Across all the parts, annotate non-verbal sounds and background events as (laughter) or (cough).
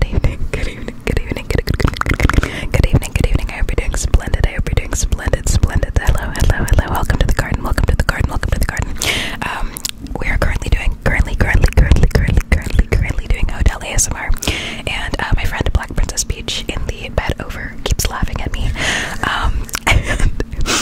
Good evening, good evening, good evening, good evening, good evening, good evening. I hope you're doing splendid. I hope you're doing splendid, splendid. Hello, hello, hello. Welcome to the garden. Welcome to the garden. Welcome to the garden. Um, we are currently doing currently, currently, currently, currently, currently, currently doing hotel ASMR, and uh, my friend Black Princess Peach in the bed over keeps laughing at me. Um, (laughs) and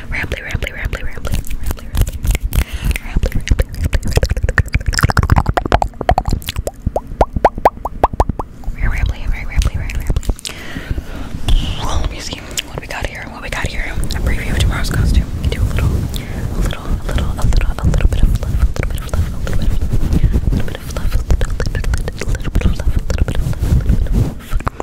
Rambly, rambly, rambly, rambly, rambly, rambly, rambly, rambly, rambly, rambly, very rambly, very rambly. Well, let me see what we got here. What we got here? A preview of tomorrow's costume. We do a little, a little, a little, a little, a little bit of love, a little bit of love, a little bit of love, a little bit of love, a little bit of love, a little bit of love, a little bit of love, a little bit of love.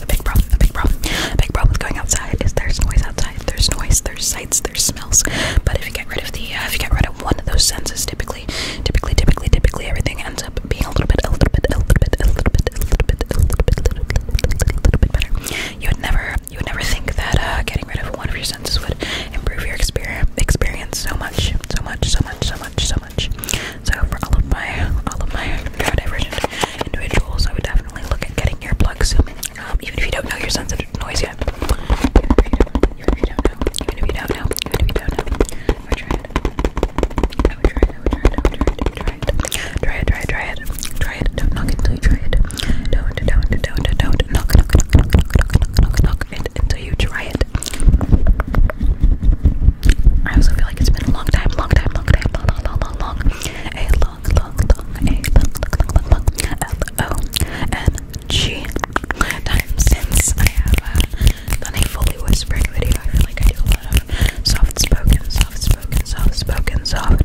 is a big problem, a big problem. A big problem with going outside is there's noise outside, there's noise, there's sights, there's smells. But if you get rid of the, uh, if you get rid of one of those senses, typically, typically, typically, typically, everything ends up being a little bit, a little bit, a little bit, a little bit, a little bit, a little bit, a little bit, a little bit better. You would never, you would never think that uh, getting rid of one of your senses would improve your experience, experience so much, so much, so much, so much, so much. So for all of my, all of my neurodivergent individuals, I would definitely definitely look at getting earplugs, um, even if you don't know you're sensitive to noise yet. Even if you don't know, even if you don't know, even if you don't know, I would try it. I would try it. I would try it. I would try it. Try it. Try it. Try it. Try it. Try it. Don't knock until you try it. Don't. Don't. Don't. Don't. Knock. Knock. Knock. Knock. Knock. Knock. Knock it until you try it. I also feel like it's been a long time, long time, long time, long, long, long, long, long a long, long, long, a long, long, long, long, L O N G time since I have uh, done a fully whispering video. I feel like I do a lot of soft spoken, soft spoken, soft spoken, soft.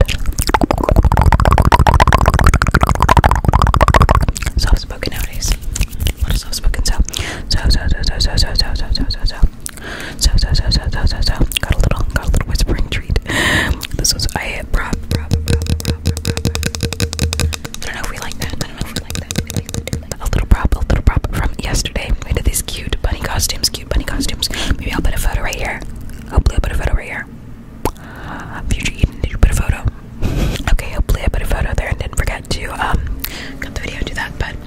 Soft spoken nowadays. What is soft spoken? So, so, so, so, so, so, so, so, so, so, so, so, so so so so so so so got a little got a little whispering treat. This was I prop prop prop prop prop prop. I don't know if we like that. I don't know if we like that. We like that. Like a little prop, a little prop from yesterday. We did these cute bunny costumes, cute bunny costumes. Maybe I'll put a photo right here. Hopefully I'll put a photo right here. Future Eden, did you put a photo? (laughs) Okay, hopefully I put a photo there and didn't forget to um cut the video and do that, but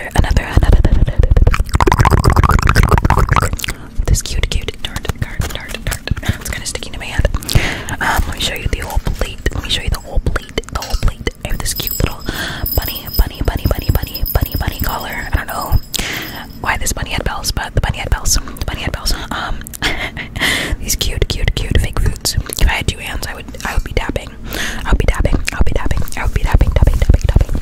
another, another, another, This cute, cute dart, dart, dart, dart. It's kind of sticking to my hand. Um, let me show you the whole plate. Let me show you the whole plate. The whole plate. I have this cute little bunny, bunny, bunny, bunny, bunny, bunny, bunny collar. I don't know why this bunny had bells, but the bunny had bells. The bunny had bells. Um, (laughs) these cute, cute, cute fake foods. If I had two hands, I would, I would be tapping. I would be tapping. I would be tapping. I would be tapping, tapping, tapping, tapping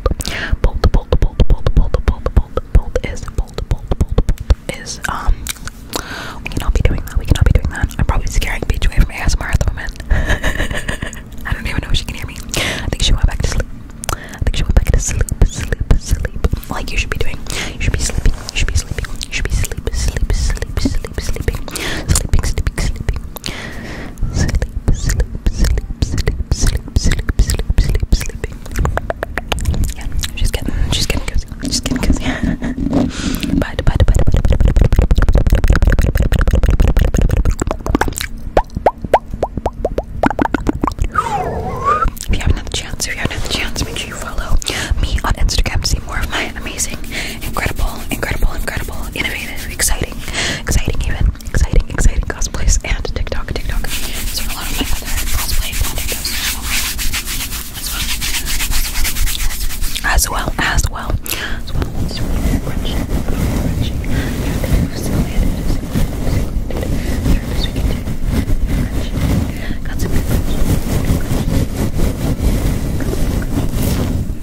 bolt. Bolt, bolt, bolt, bolt, bolt, bolt, bolt, bolt is bolt, bolt, bolt, bolt is um. We cannot be doing that. We cannot be doing that. I'm probably scaring Peach away from ASMR at the moment. (laughs) I don't even know if she can hear me. I think she went back to sleep. I think she went back to sleep, sleep, sleep. Like you should be doing. You should be sleeping. You should be sleeping. You should be sleep, sleep, sleep, sleep, sleeping, sleeping, sleeping, sleeping sleep, sleep, sleep, sleep, sleep, sleep, sleep, sleep, sleeping. Yeah, she's getting, she's getting cozy, she's getting cozy. Bye, bye, bye, bye, bye, bye, bye, bye, if you haven't had the chance, if you haven't had the chance, make sure you follow me on Instagram to see more of my amazing incredible, incredible, incredible, innovative, exciting, exciting even, exciting, exciting cosplays and TikTok, TikTok. So a lot of my other cosplay projects as well, as well, as well, as well. It's really refreshing, refreshing. Got some good questions. Got some good questions.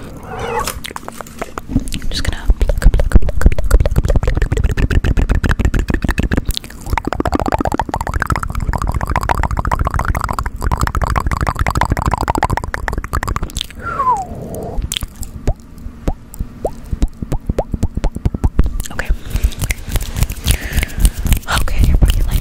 I'm just gonna pluck, pluck, pluck, pluck, pluck, Okay. Okay, everybody,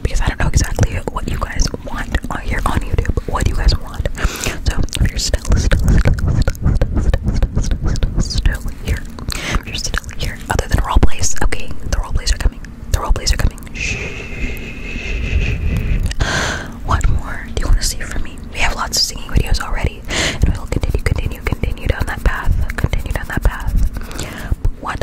because I don't know exactly what you guys want on here on YouTube. What do you guys want. So if you're still still still still still, still, still here, if you're still here, other than role plays, okay, the role plays are coming. The role plays are coming. Shh. What more do you want to see from me? We have lots of singing videos already, and we'll continue, continue, continue down that path. Continue down that path. What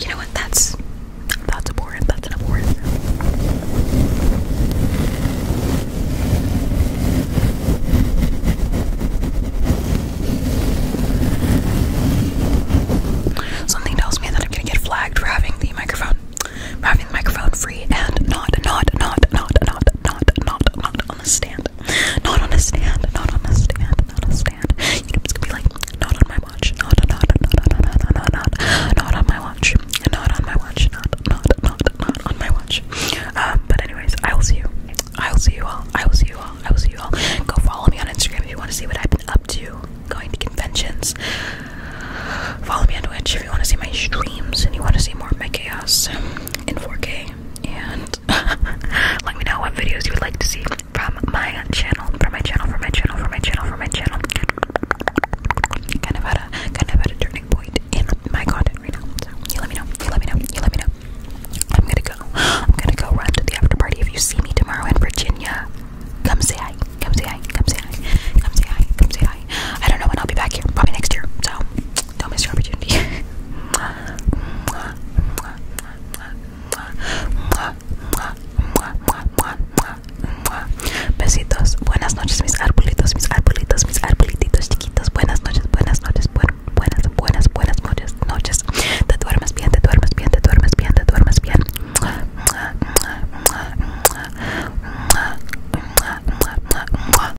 you know what? That's that's abhorrent. That's an abhorrent. Something tells me that I'm gonna get flagged for having the microphone, for having the microphone free and not, not, not, not, not, not, not, not, on a stand. Not on a stand, not on a stand, not a stand. it's gonna be like, not on my watch, not, not, not, not, not, not, not, not, not on my watch, not on my watch, not, not, not, not on my watch. but anyways, I will see you. I will see you all. I will see you all. I will see you all. Go follow me on Instagram if you want to see what I've been up to, going to conventions. Follow me on Twitch if you want to see my streams and you want to see more of my chaos in 4K. And out. (laughs) Let me know what videos you would like to see from my channel, from my channel, from my channel, from my channel, from my channel. Kind of at a kind of at a turning point in my content right now. So you let me know. You let me know. You let me know. I'm gonna go. (gasps) I'm gonna go run to the after party. If you see me tomorrow in Virginia, come say hi. Come say hi. Come say hi. Come say hi. Come say hi. I don't know when I'll be back here. Probably next year. So Besitos, buenas noches mis arbolitos, mis arbolitos, mis arbolitos chiquitos. Buenas noches, buenas noches, buenas, buenas, buenas, buenas noches. Te duermes bien, te duermes bien, te duermes bien, te duermes bien.